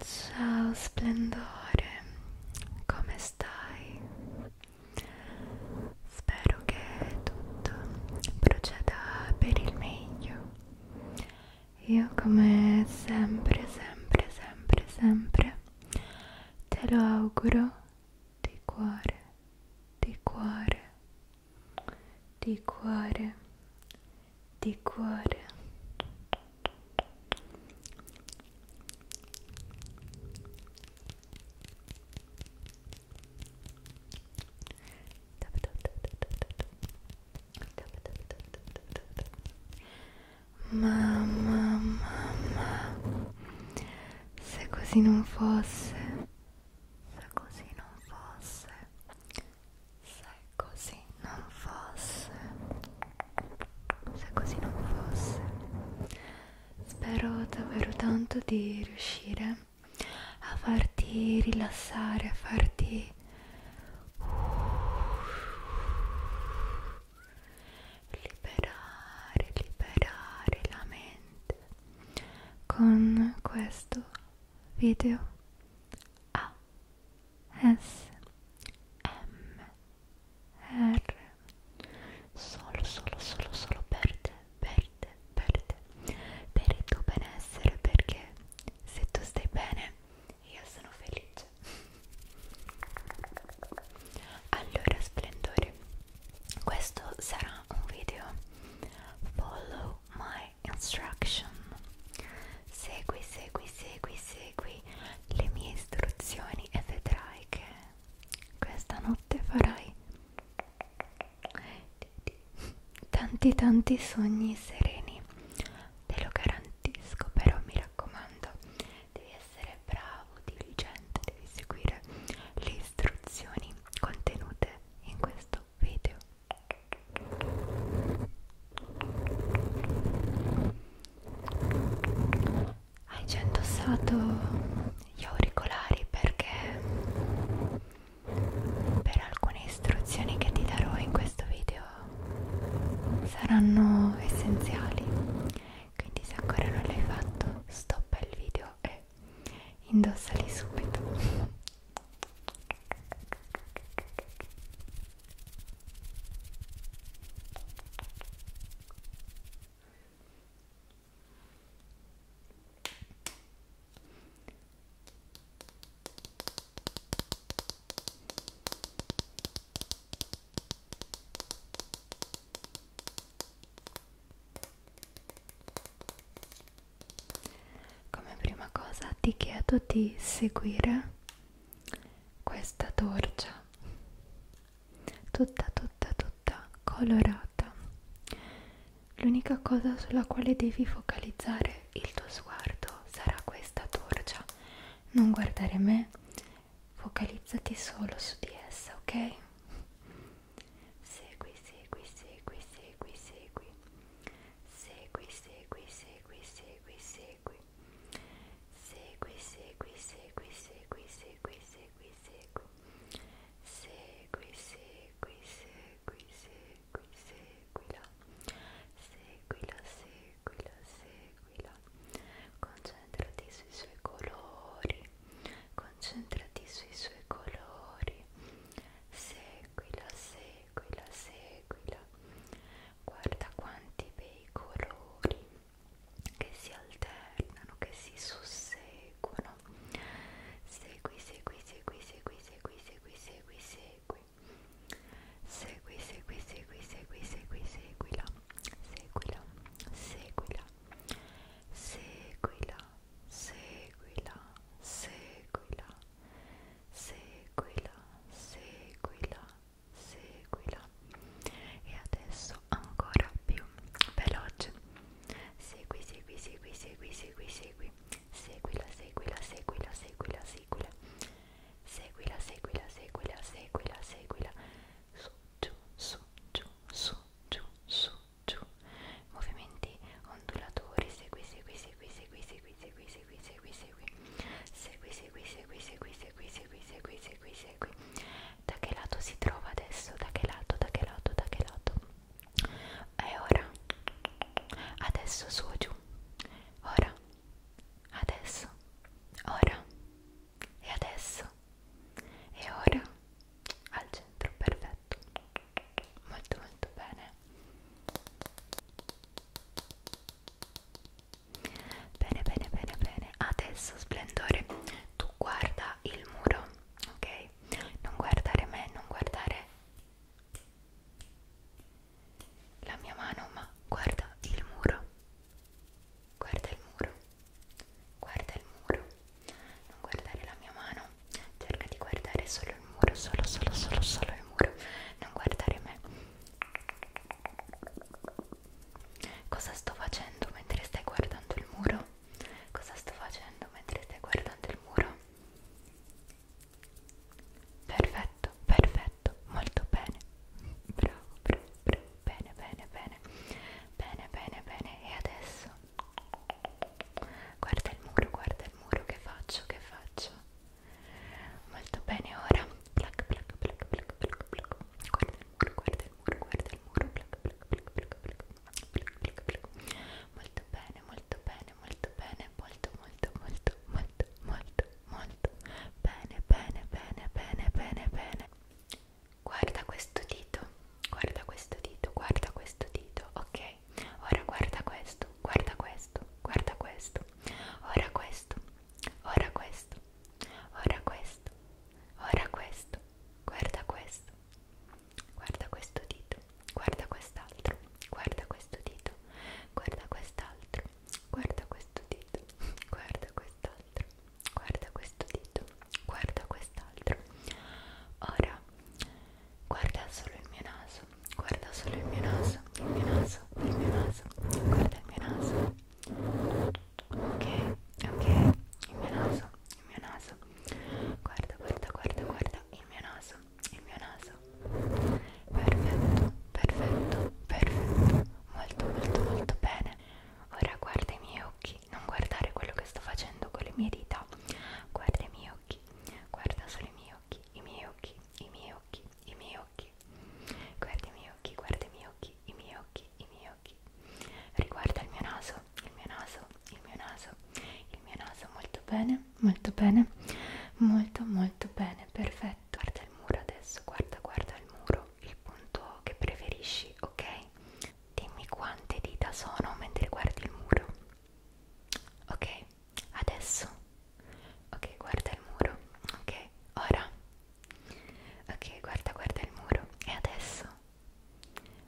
Ciao splendore, come stai? Spero che tutto proceda per il meglio. Io come sempre, sempre, sempre, sempre te lo auguro di cuore, di cuore, di cuore, di cuore Mamma, mamma, se così non fosse, se così non fosse, se così non fosse, se così non fosse, spero davvero tanto di riuscire a farti rilassare, a farti liberare, liberare la mente con questo video. A ah. SMR solo solo solo solo per te per te per te per il tuo benessere perché se tu stai bene io sono felice allora splendore questo sarà un video follow my instruction segui, segui, segui, segui le mie istruzioni e vedrai che questa notte farai tanti tanti sogni sereni te lo garantisco però mi raccomando devi essere bravo diligente devi seguire le istruzioni contenute in questo video hai già indossato gli auricolari perché per alcune istruzioni che ti darò in questo video saranno essenziali. Quindi se ancora non l'hai fatto, stoppa il video e indossali subito. Come prima cosa ti chiedo di seguire questa torcia tutta tutta tutta colorata l'unica cosa sulla quale devi focalizzare il tuo sguardo sarà questa torcia non guardare me focalizzati solo su di essa ok segui segui segui segui segui segui segui segui segui segui Segui, segui, segui, segui, segui, segui, segui. Segui, segui, segui, segui, seguila. Seguila, seguila, seguila. Concentrati sui suoi colori. Concentrati sui suoi colori. Seguila, seguila seguila, seguila. Guarda quanti bei colori che si alternano, che si susseguono. Segui, segui, segui, segui, segui, segui, segui, segui. Segui, segui, segui, segui, segui, seguila. Seguila, seguila. Seguila, seguila, seguila. Seguila, seguila, seguila e adesso ancora più veloce segui segui segui segui segui segui seguila seguila seguila seguila seguila seguila seguila seguila seguila seguila su giù su giù su giù su giù movimenti ondulatori segui segui segui segui segui segui segui, segui, segui, segui, segui, segui, segui, segui, segui, segui, segui, segui. Da che lato si trova adesso? Da che lato? Da che lato? Da che lato? E ora? Adesso su o giù? Ora? Adesso? Ora? E adesso? E ora? Al centro, perfetto. Molto molto bene. Bene, bene, bene, bene. Adesso, splendore, tu guarda il muro, ok? Non guardare me, non guardare la mia mano, ma guarda il muro. Guarda il muro. Guarda il muro. Non guardare la mia mano. Cerca di guardare solo il muro, solo, solo, solo, solo il muro. Non guardare me. Cosa sto facendo mentre stai guardando il muro? Cosa sto facendo mentre stai guardando il muro? Perfetto, perfetto, molto bene. Bravo, bravo, bravo. Bene, bene, bene. Bene, bene, bene. E adesso? Guarda il muro, guarda il muro. Che faccio? Che faccio? molto bene ora plac plac plac plac plac plac guarda il muro guarda il muro guarda il muro plac plac plac plac plac plac plac plac molto bene molto bene molto bene molto molto molto molto molto molto bene bene bene bene bene bene guarda questo dito guarda questo dito guarda questo dito ok ora guarda questo guarda questo guarda questo ora questo ora questo, ora questo, ora questo, guarda questo, guarda questo dito, guarda quest'altro, guarda questo dito, guarda quest'altro, guarda questo dito, guarda quest'altro, guarda questo dito, guarda quest'altro. Ora guarda solo il mio naso naso, guarda solo il mio naso, il mio naso, il mio naso, guarda il mio naso. Ok, ok, il mio naso, il mio naso. Guarda, guarda, guarda, guarda, il mio naso, il mio naso. Perfetto, perfetto, perfetto. Molto, molto, molto bene. Ora guarda i miei occhi, non guardare quello che sto facendo con le mie dita. Guarda i miei occhi, guarda solo i miei occhi, i miei occhi, i miei occhi i miei occhi, guarda i miei occhi, guarda i miei occhi, i miei occhi, i miei occhi, riguarda il mio naso, il mio naso, il mio naso, il mio naso, molto bene, molto bene, molto molto bene, perfetto, guarda il muro adesso, guarda, guarda il muro, il punto che preferisci, ok? Dimmi quante dita sono mentre guardi il muro, ok? ok adesso ok guarda il muro ok ora ok guarda guarda il muro e adesso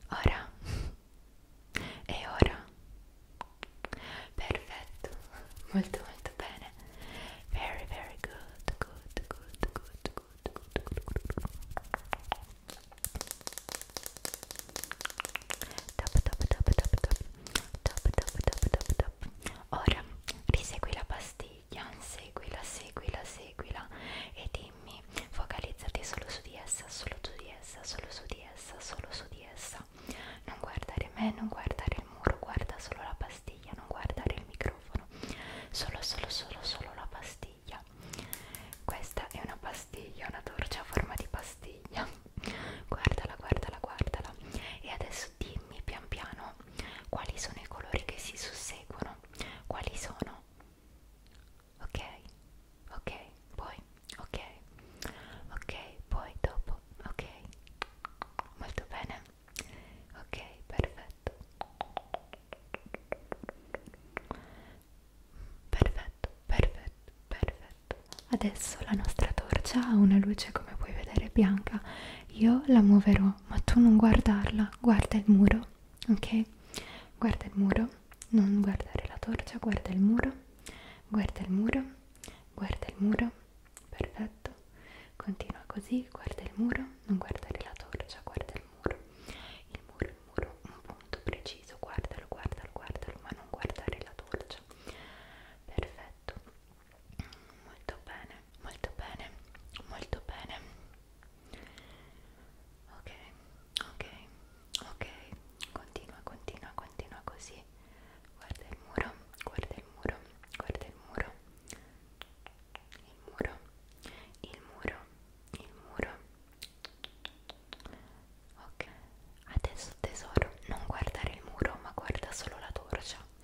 ora e ora perfetto molto molto bene very very good good good good good good, good, good. Top, top, top, top, top top top top top top ora risegui la pastiglia seguila seguila seguila e dimmi focalizzati solo su di essa solo su di essa solo su di essa solo su di essa non guardare me non guardare il muro guarda solo la pastiglia non guardare il microfono solo solo solo solo la pastiglia questa è una pastiglia una torcia a forma di pastiglia guardala guardala guardala e adesso adesso dimmi pian piano quali sono i colori che si susseguono, quali sono, ok, ok, poi, ok, ok, poi dopo, ok, molto bene, ok, perfetto, perfetto, perfetto, perfetto. Adesso la nostra torcia ha una luce come puoi vedere bianca io la muoverò, ma tu non guardarla, guarda il muro, ok? Guarda il muro, non guardare la torcia, guarda il muro, guarda il muro, guarda il muro, perfetto, continua così, guarda il muro, non guardare la torcia, guarda il muro, il muro, il muro, un punto preciso, guardalo, guardalo, guardalo, ma non guardare la torcia, perfetto molto bene molto bene molto bene ok ok ok continua continua continua così guarda il muro guarda il muro guarda il muro il muro il muro il muro ok adesso tesoro non guardare il muro ma guarda solo la torcia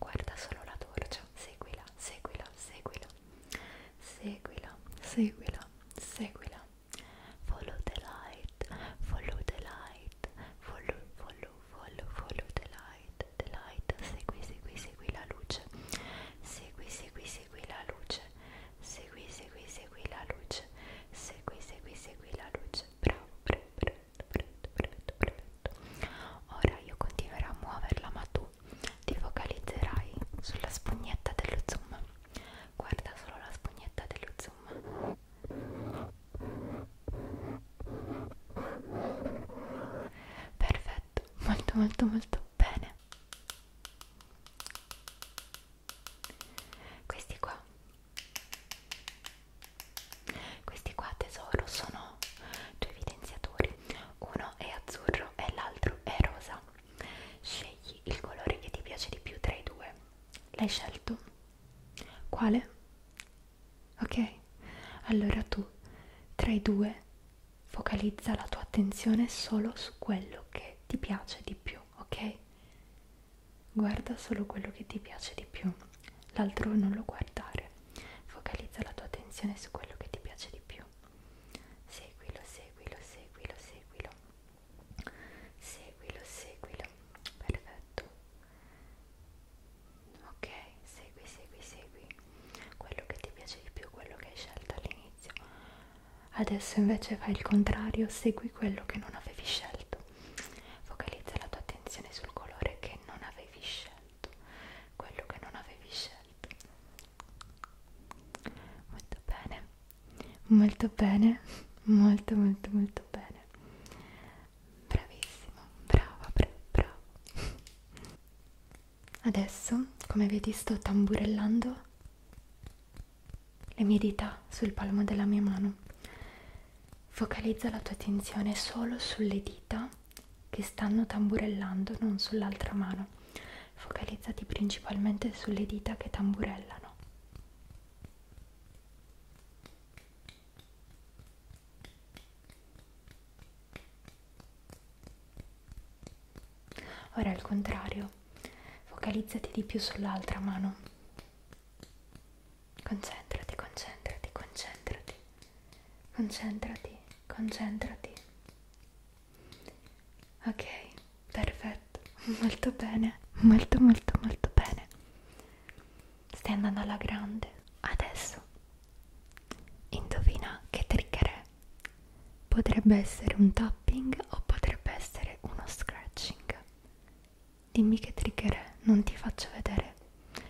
guarda solo la torcia, seguila, seguila, seguila, seguila, seguila, seguila, follow the light, follow the light, follow, follow, follow, follow the light, the light, segui, segui, segui la luce, segui, segui, segui la luce, segui, segui, segui la luce, segui, segui, segui la luce, bravo, bravo, bravo perfetto, perfetto, perfetto, perfetto. Ora io continuerò a muoverla, ma tu ti focalizzerai sulla spugnetta dello zoom. Guarda solo la spugnetta dello zoom. Perfetto, molto molto molto bene. Questi qua questi qua tesoro sono due evidenziatori, uno è azzurro e l'altro è rosa. Scegli il colore che ti piace di più tra i due. L'hai scelto? Quale? Ok, allora tu tra i due focalizza la tua attenzione solo su quello che ti piace di più, ok? Guarda solo quello che ti piace di più l'altro non lo guardare, focalizza la tua attenzione su quello che ti piace di più. Seguilo, seguilo, seguilo, seguilo. Seguilo, seguilo. Perfetto. Ok, segui, segui, segui quello che ti piace di più, quello che hai scelto all'inizio. Adesso invece fai il contrario, segui quello che non avevi scelto. Focalizza la tua attenzione sul colore che non avevi scelto, quello che non avevi scelto. Molto bene, molto bene, molto molto molto bene. Bravissimo, brava, bra bravo. Adesso, come vedi, sto tamburellando le mie dita sul palmo della mia mano Focalizza la tua attenzione solo sulle dita che stanno tamburellando, non sull'altra mano. Focalizzati principalmente sulle dita che tamburellano. Ora al contrario, focalizzati di più sull'altra mano Concentrati, concentrati, concentrati. Concentrati, concentrati. Ok, perfetto. Molto bene, molto molto molto bene. Stai andando alla grande. Adesso indovina che trigger è. Potrebbe essere un tapping o potrebbe essere uno scratching. Dimmi che trigger è, non ti faccio vedere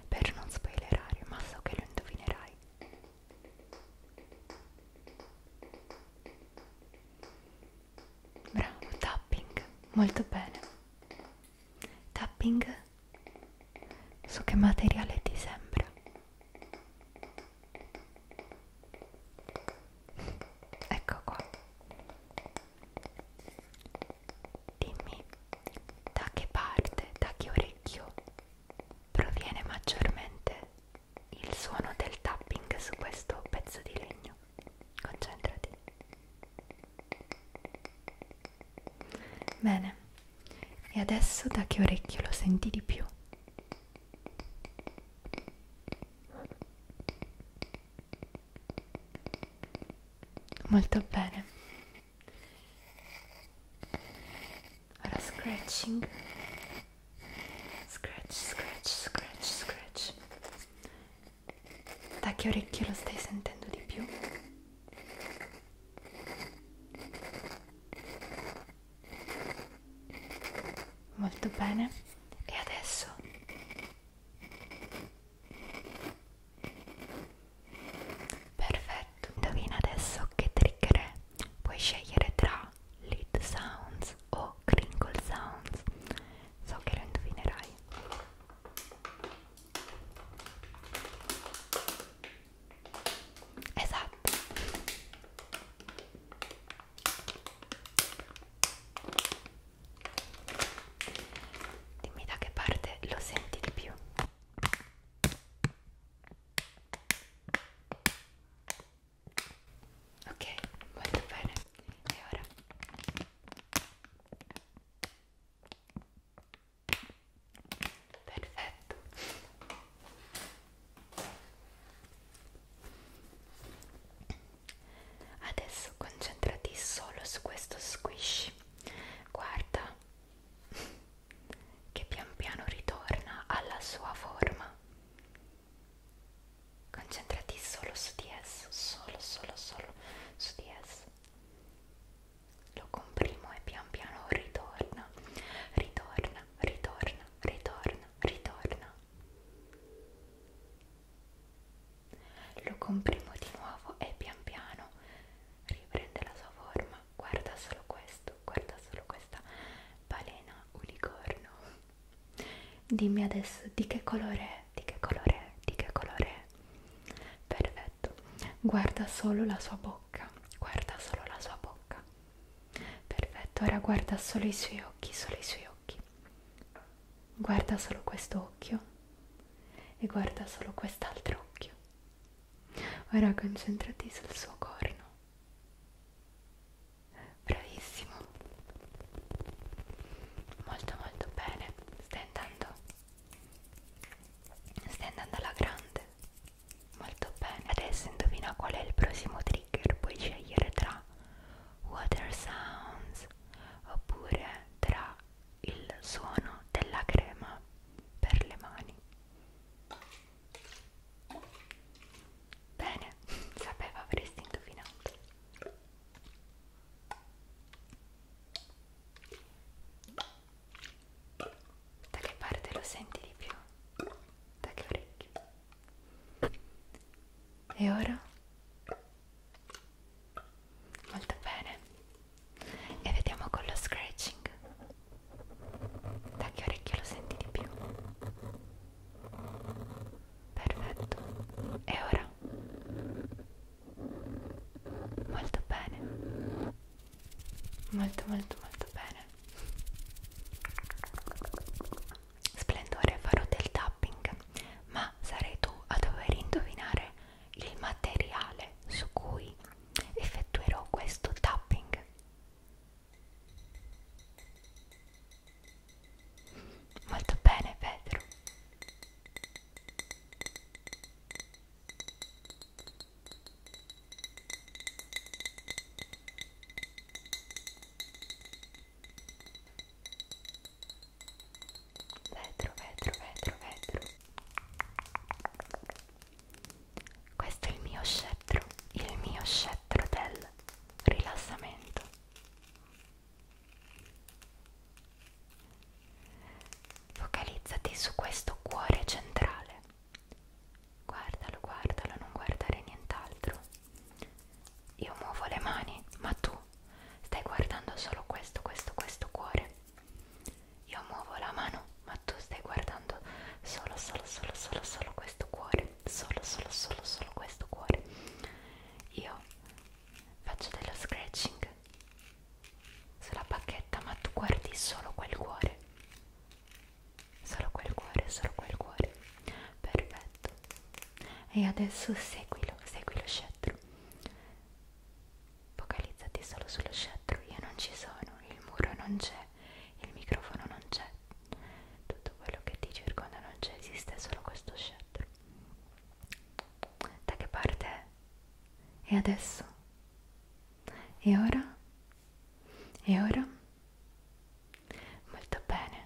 per non spoilerare, ma so che lo indovinerai. Bravo, tapping, molto bene. Tapping su che materiale ti sembra? Ecco qua. Dimmi da che parte, da che orecchio proviene maggiormente il suono del tapping su questo pezzo di legno. Concentrati. Bene, e adesso da che orecchio lo senti di più? Molto bene, Ora scratching. Scratch, scratch, scratch, scratch. Da che orecchio lo stai sentendo di più? Molto bene. E adesso Perfetto, indovina adesso che trigger è. Puoi scegliere tra lead sounds o crinkle sounds. So che lo indovinerai. Esatto. Dimmi da che parte lo senti di più. Ok, molto bene. E ora? Perfetto. Adesso concentrati solo su questo squish guarda che pian piano ritorna alla sua forma concentrati solo su di esso solo solo solo su di esso lo comprimo e pian piano ritorna ritorna ritorna ritorna ritorna lo comprimo di nuovo e pian piano riprende la sua forma. Guarda solo questo, guarda solo questa balena unicorno. Dimmi adesso di che colore è, di che colore è, di che colore è. Perfetto. Guarda solo la sua bocca, guarda solo la sua bocca. Perfetto, ora guarda solo i suoi occhi, solo i suoi occhi. Guarda solo questo occhio e guarda solo quest'altro occhio. Ora concentrati sul suo corno. Bravissimo. Molto molto bene. Stai andando. Stai andando alla grande. Molto bene. Adesso indovina qual è il prossimo trigger. Puoi scegliere tra water sounds oppure tra il suono della crema per le mani. Bene, sapevo avresti indovinato. Da che parte lo senti di più? Da che orecchie? E ora molto bene e vediamo con lo scratching da che orecchio lo senti di più perfetto e ora molto bene molto molto molto bene splendore farò del tapping ma sarai tu a dover indovinare il materiale su cui effettuerò questo tapping molto bene Pedro vetro, vetro, vetro, vetro. Questo è il mio scettro, il mio scettro del rilassamento. Focalizzati su questo cuore centrale. Guardalo, guardalo, non guardare nient'altro. Io muovo le mani, ma tu stai guardando solo questo, questo, questo cuore. Io muovo la mano, ma tu stai guardando solo, solo, solo, solo, solo questo cuore. Solo, solo, solo, solo questo cuore. Io faccio dello scratching sulla bacchetta, ma tu guardi solo quel cuore. Solo quel cuore, solo quel cuore. Perfetto. E adesso seguilo, seguilo scettro. Focalizzati solo sullo scettro, io non ci sono, il muro non c'è, il microfono non c'è, tutto quello che ti circonda non c'è, esiste solo questo scettro. Da che parte è? E adesso? E ora? E ora? Molto bene.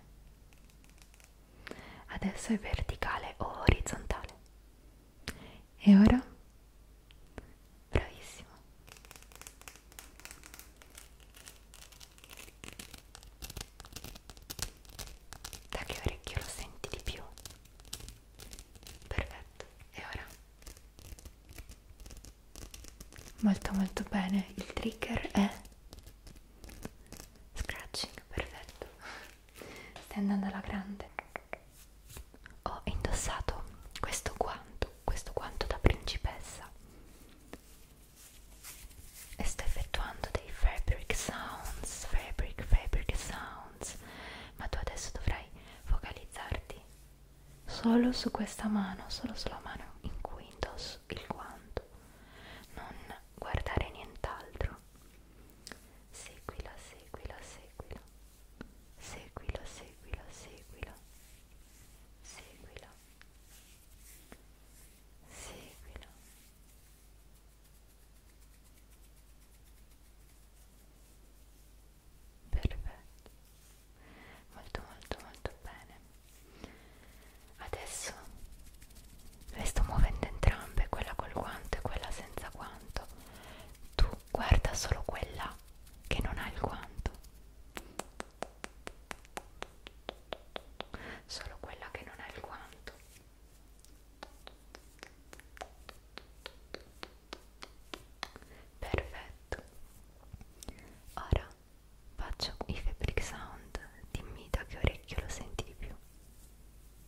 Adesso è verticale o orizzontale? E ora? Bravissimo. Da che orecchio lo senti di più? Perfetto. E ora? Molto molto bene. Il trigger è scratching, perfetto stai andando alla grande ho indossato questo guanto questo guanto da principessa e sto effettuando dei fabric sounds fabric fabric sounds ma tu adesso dovrai focalizzarti solo su questa mano solo sulla mano in cui indosso il guanto non guardare nient'altro seguila, seguila, seguila, seguila, seguila, seguila, seguila, seguila. Perfetto, molto molto molto bene. Adesso le sto muovendo entrambe, quella col guanto e quella senza guanto, tu guarda solo quella che non ha il guanto solo quella che non ha il guanto perfetto ora faccio i fabric sound dimmi da che orecchio lo senti di più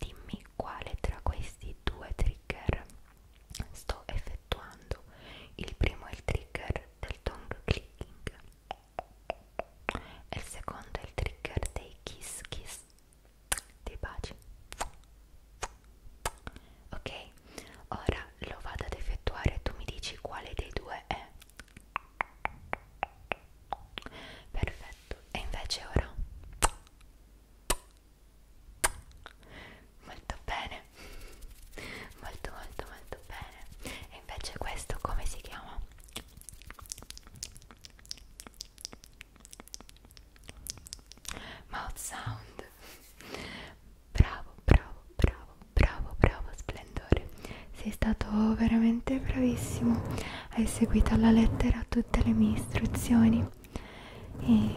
dimmi quale tra questi due trigger sto effettuando. Il primo è il trigger del tongue clicking e il secondo è il trigger dei kiss kiss, dei baci. Ok, ora lo vado ad effettuare, tu mi dici quale dei due è. Perfetto, e invece ora molto bene molto molto molto bene e invece questo come si chiama? mouth sound bravo bravo bravo bravo bravo splendore sei stato veramente bravissimo hai seguito alla lettera tutte le mie istruzioni e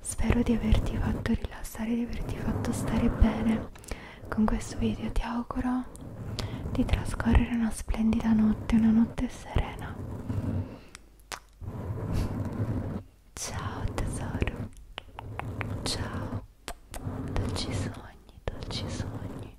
spero di averti fatto rilassare di averti fatto stare bene con questo video ti auguro di trascorrere una splendida notte una notte serena ciao tesoro ciao dolci sogni dolci sogni